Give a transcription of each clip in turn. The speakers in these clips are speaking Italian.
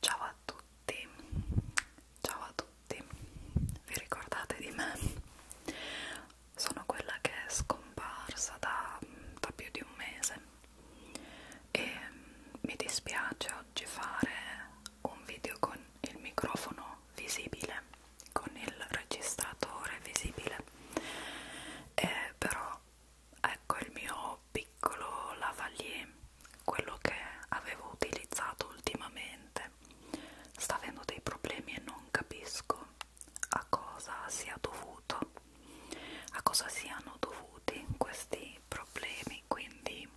Ciao a tutti, ciao a tutti, vi ricordate di me? Sono quella che è scomparsa da, da più di un mese e mi dispiace oggi fare un video con il microfono visibile, con il registratore visibile, eh, però ecco il mio piccolo lavalier quello che avevo utilizzato ultimamente sta avendo dei problemi e non capisco a cosa sia dovuto a cosa siano dovuti questi problemi quindi,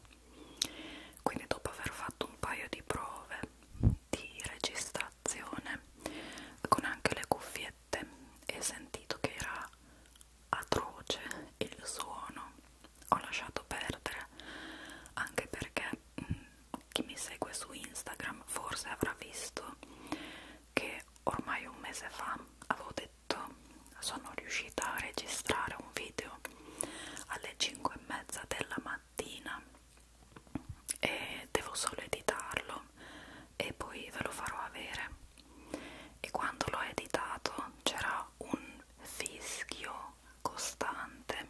quindi dopo aver fatto un paio di prove di registrazione con anche le cuffiette e sentito che era atroce il suono ho lasciato perdere anche perché mh, mm, chi mi segue su Instagram forse avrà visto che ormai un mese fa avevo detto sono riuscita a registrare un video alle 5 e mezza della mattina e devo solo editarlo e poi ve lo farò avere e quando l'ho editato c'era un fischio costante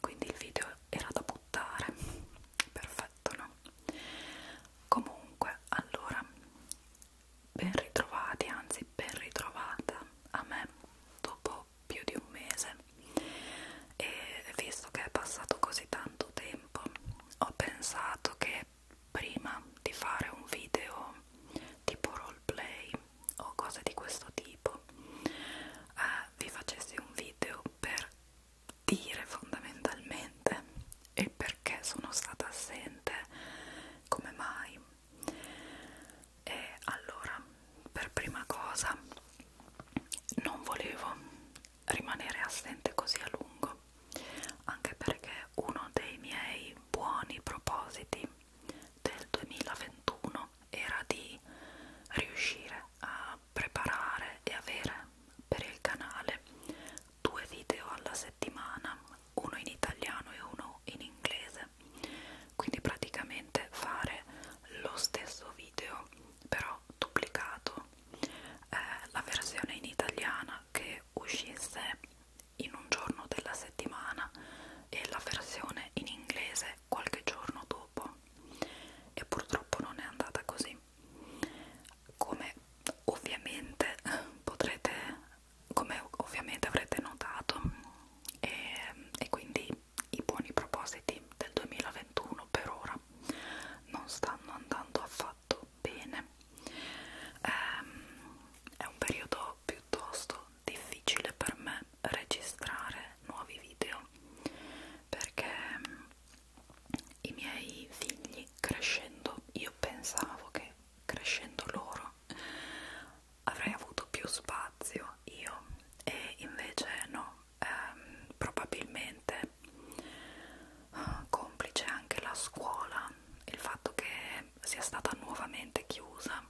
quindi il video era da buttare perfetto no comunque allora ben ritrovati anzi ben ritrovata a me dopo più di un mese e visto che è passato così tanto tempo ho pensato che prima di fare un video tipo roleplay o cose di questo tipo eh, vi facessi un video per dire fondamentalmente il perché sono stata assente come mai e allora per prima cosa non volevo rimanere assente così a lungo anche perché uno dei miei buoni propositi del 2021 era di riuscire a preparare e avere per il canale due video alla settimana uno in italiano e uno in inglese quindi praticamente fare lo stesso video però duplicato tempo eh, la versione in italiana che uscisse in un giorno della settimana e la versione in inglese qualche giorno dopo e purtroppo non è andata così come ovviamente potrete come ovviamente avrete notato e, e quindi i buoni propositi del 2021 per ora non stanno andando affatto fatto bene. Ehm, è un periodo piuttosto difficile per me registrare nuovi video perché mm, i miei figli crescendo, io pensavo che crescendo loro avrei avuto più spazio io e invece no, ehm, probabilmente eh, complice anche la scuola, il fatto che sia stata nuovamente chiusa,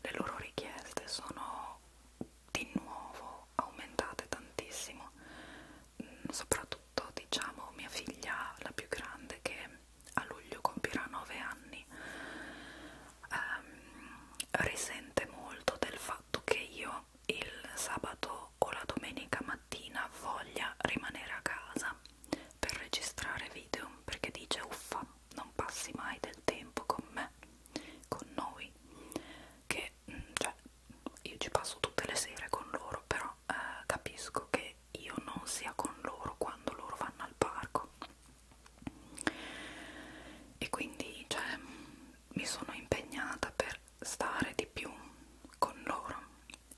le loro richieste sono di nuovo aumentate tantissimo, mm, soprattutto diciamo mia figlia la più grande che a luglio compirà 9 anni ehm, risente molto del fatto che io il sabato sabato o la domenica mattina voglia rimanere a casa per registrare video perché dice uffa non passi mai del tempo con me con noi che mm, cioè io ci passo tutte le sere con loro però eh, capisco che io non sia con loro quando loro vanno al parco e quindi cioè, mi sono impegnata per stare di più con loro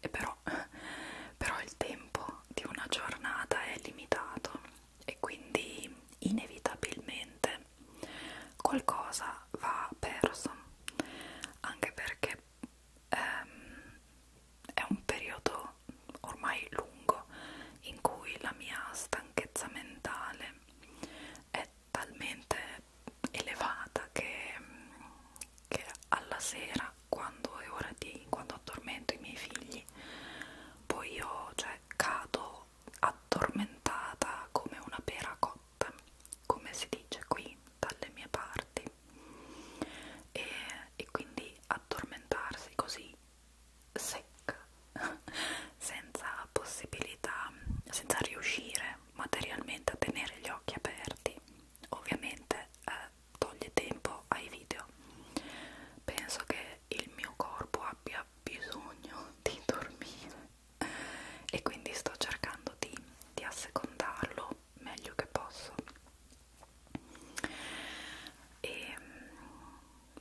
e però, però il tempo di una giornata è limitato e quindi inevitabilmente qualcosa va perso anche perché ehm, è un periodo ormai lungo in cui la mia stanchezza mentale è talmente elevata che, che alla sera quando è ora di quando addormento i miei figli poi io cioè cado addormentata come una pera cotta come si dice qui dalle mie parti e, e quindi addormentarsi così secca senza possibilità, senza riuscire materialmente a tenere gli occhi aperti, ovviamente eh, toglie tempo ai video. Penso che il mio corpo abbia bisogno di dormire e quindi sto cercando di, di assecondarlo meglio che posso. E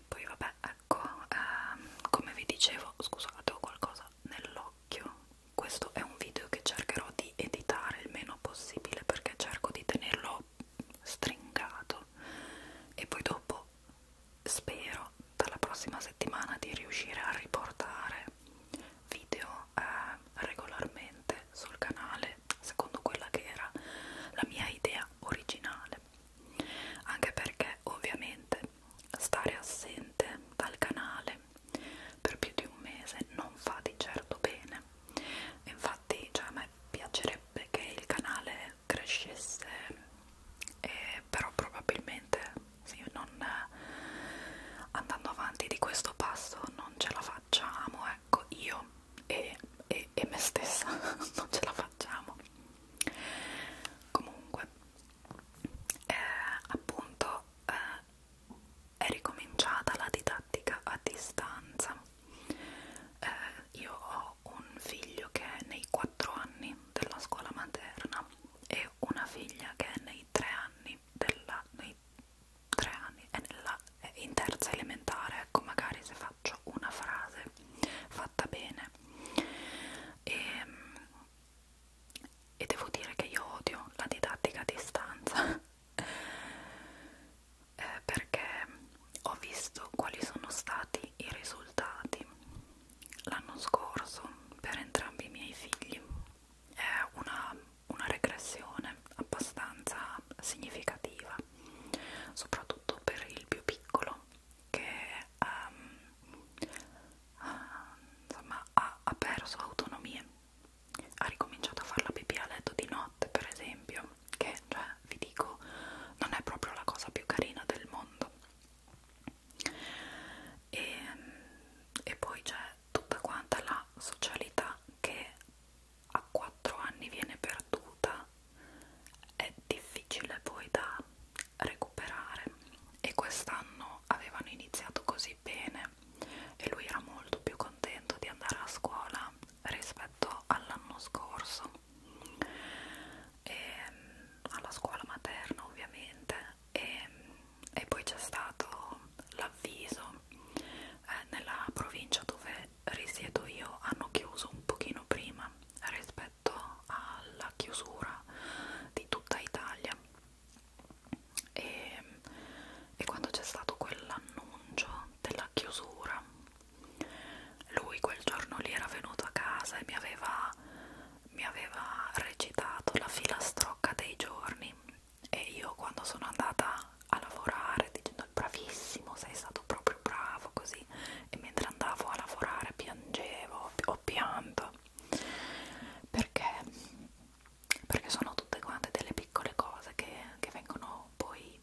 poi vabbè ecco ehm, come vi dicevo scusate ho qualcosa nell'occhio questo è un video che cercherò di editare il meno possibile perché cerco di tenerlo stringato e poi dopo spero dalla prossima settimana di riuscire a riportare video eh, regolarmente sul canale secondo quella che era la mia idea originale anche perché ovviamente stare assente dal canale per più di un mese non fa di certo bene infatti cioè, a me piacerebbe che il canale crescesse eh, però probabilmente sì, non, eh, andando avanti di questo passo non ce la facciamo ecco io e, e, e me stessa non ce la facciamo comunque eh, appunto eh, è ricominciata la didattica a distanza eh, io ho un figlio che è nei 4 anni della scuola materna e una figlia che è nei 3 anni della nei 3 anni è, nella, è in terza elementare ecco magari se fa faccio una frase fatta bene e, ehm, e devo dire che io odio la didattica a distanza eh, perché ho visto quali sono stati i risultati l'anno scorso per entrambi i miei figli è una, una regressione abbastanza significativa soprattutto per il più piccolo che um, uh, insomma, ha, ha perso autonomie ha ricominciato a fare la pipì a letto di notte per esempio che cioè, vi dico non è proprio la cosa più carina del mondo e, e poi c'è tutta quanta la socialità che a 4 anni viene perduta è difficile poi da recuperare e quest'anno avevano iniziato così bene e lui era molto più contento di andare a scuola rispetto all'anno scorso e, mm, alla scuola materna ovviamente e, mm, e poi c'è stato l'avviso eh, nella provincia dove dove risiedo io hanno chiuso un pochino prima rispetto alla chiusura di tutta Italia e, e quando c'è stato quell'annuncio della chiusura lui quel giorno lì era venuto a casa e mi aveva, mi aveva recitato la filastrocca dei giorni e io quando sono andata a lavorare dicendo stato bravissimo, sei stato proprio bravo così e mentre andavo a lavorare piangevo, ho pianto perché, perché sono tutte quante delle piccole cose che, che vengono poi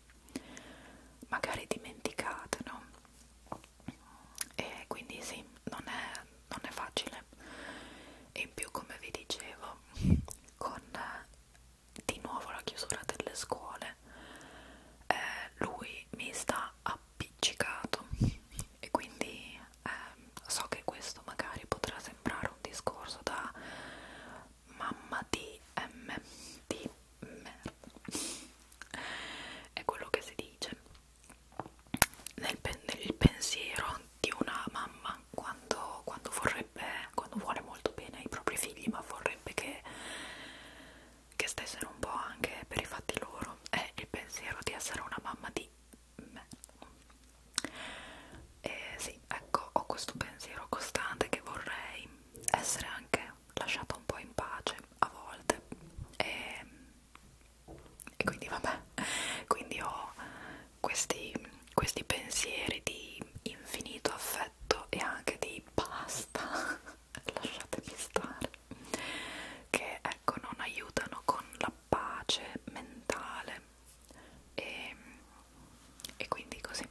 magari dimenticate, no? E quindi sì, non è, non è facile. E in più, come vi dicevo, con di nuovo la chiusura delle scuole, eh, lui mi sta appiccicato e quindi eh, so che questo magari potrà sembrare un discorso da mamma di M di merda è quello che si dice nel pen nel pensiero di una mamma quando, quando vorrebbe, quando vuole molto bene ai propri figli, ma vorrebbe che, che stessero un po' anche per i fatti loro, è il pensiero di essere una mamma di me. E sì, ecco, ho questo pensiero costante che vorrei essere anche lasciata un po' in pace a volte. E, e quindi vabbè, quindi ho questi, questi pensieri di infinito affetto e anche di basta, lasciatemi stare, che ecco non aiutano con la pace mentale e, e quindi così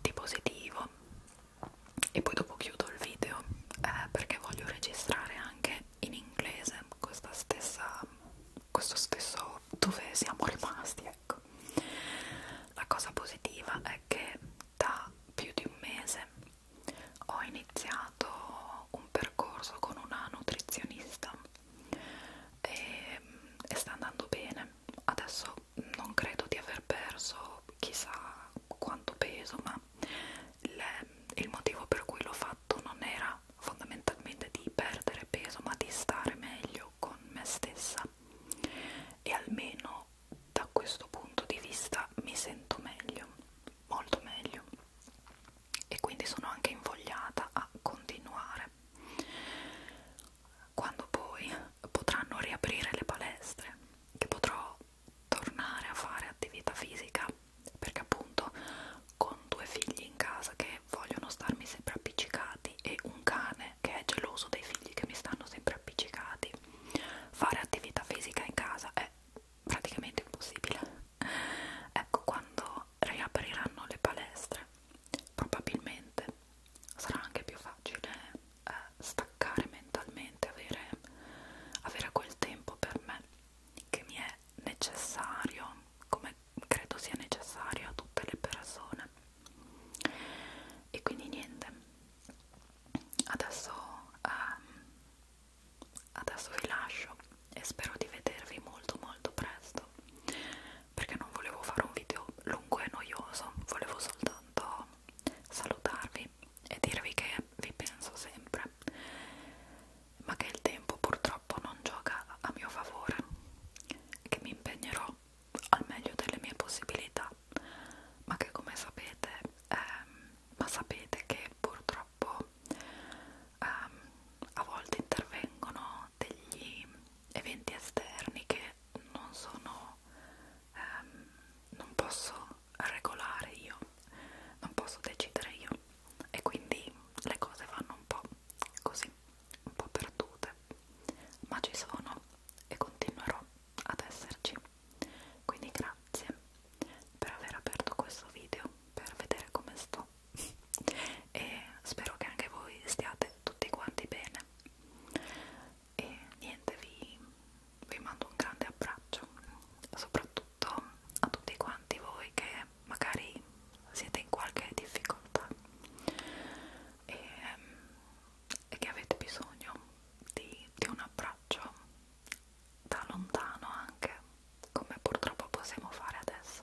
di positivo e poi dopo chiudo il video eh, perché voglio registrare anche in inglese questa stessa questo stesso dove siamo rimasti ecco la cosa positiva è che da più di un mese ho iniziato un percorso con una nutrizionista e, mm, e sta andando bene adesso non credo di aver perso chissà quanto peso ma il, il motivo per cui l'ho fatto non era fondamentalmente di perdere peso ma di stare meglio con me stessa e almeno da questo punto di vista mi sento meglio, molto meglio e quindi sono anche invogliata a continuare quando poi potranno riaprire le palestre che potrò tornare a fare attività fisica perché appunto con due figli in casa che vogliono starmi sempre appiccicati e un cane che è geloso dei figli che mi stanno sempre appiccicati fare attività fisica in casa è praticamente impossibile ecco quando riapriranno le palestre probabilmente sarà anche più facile eh, staccare mentalmente avere, avere quel tempo per me che mi è necessario come credo sia necessario a tutte le persone e quindi niente adesso ehm, adesso vi lascio e spero di vedervi molto molto presto perché non volevo fare un video lungo e noioso volevo soltanto salutarvi e dirvi che vi penso sempre ma che il tempo purtroppo non gioca a mio favore, che mi impegnerò al meglio delle mie possibilità, ma che come sapete, ehm, ma sapete che purtroppo ehm, a volte intervengono degli eventi esterni che non sono, ehm, non posso regolare io, non posso decidere io e quindi le cose vanno un po' così, un po' perdute, ma ci sono e continuerò ad esserci. Quindi grazie per aver aperto questo video, per vedere come sto e spero che anche voi stiate tutti quanti bene. E niente, vi, vi mando un grande abbraccio, soprattutto a tutti quanti voi che magari siete in qualche difficoltà e, ehm, e che avete bisogno di, di un abbraccio da lontano anche come purtroppo possiamo fare adesso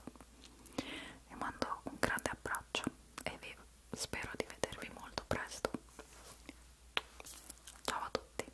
vi mando un grande abbraccio e vi spero di vedervi molto presto ciao a tutti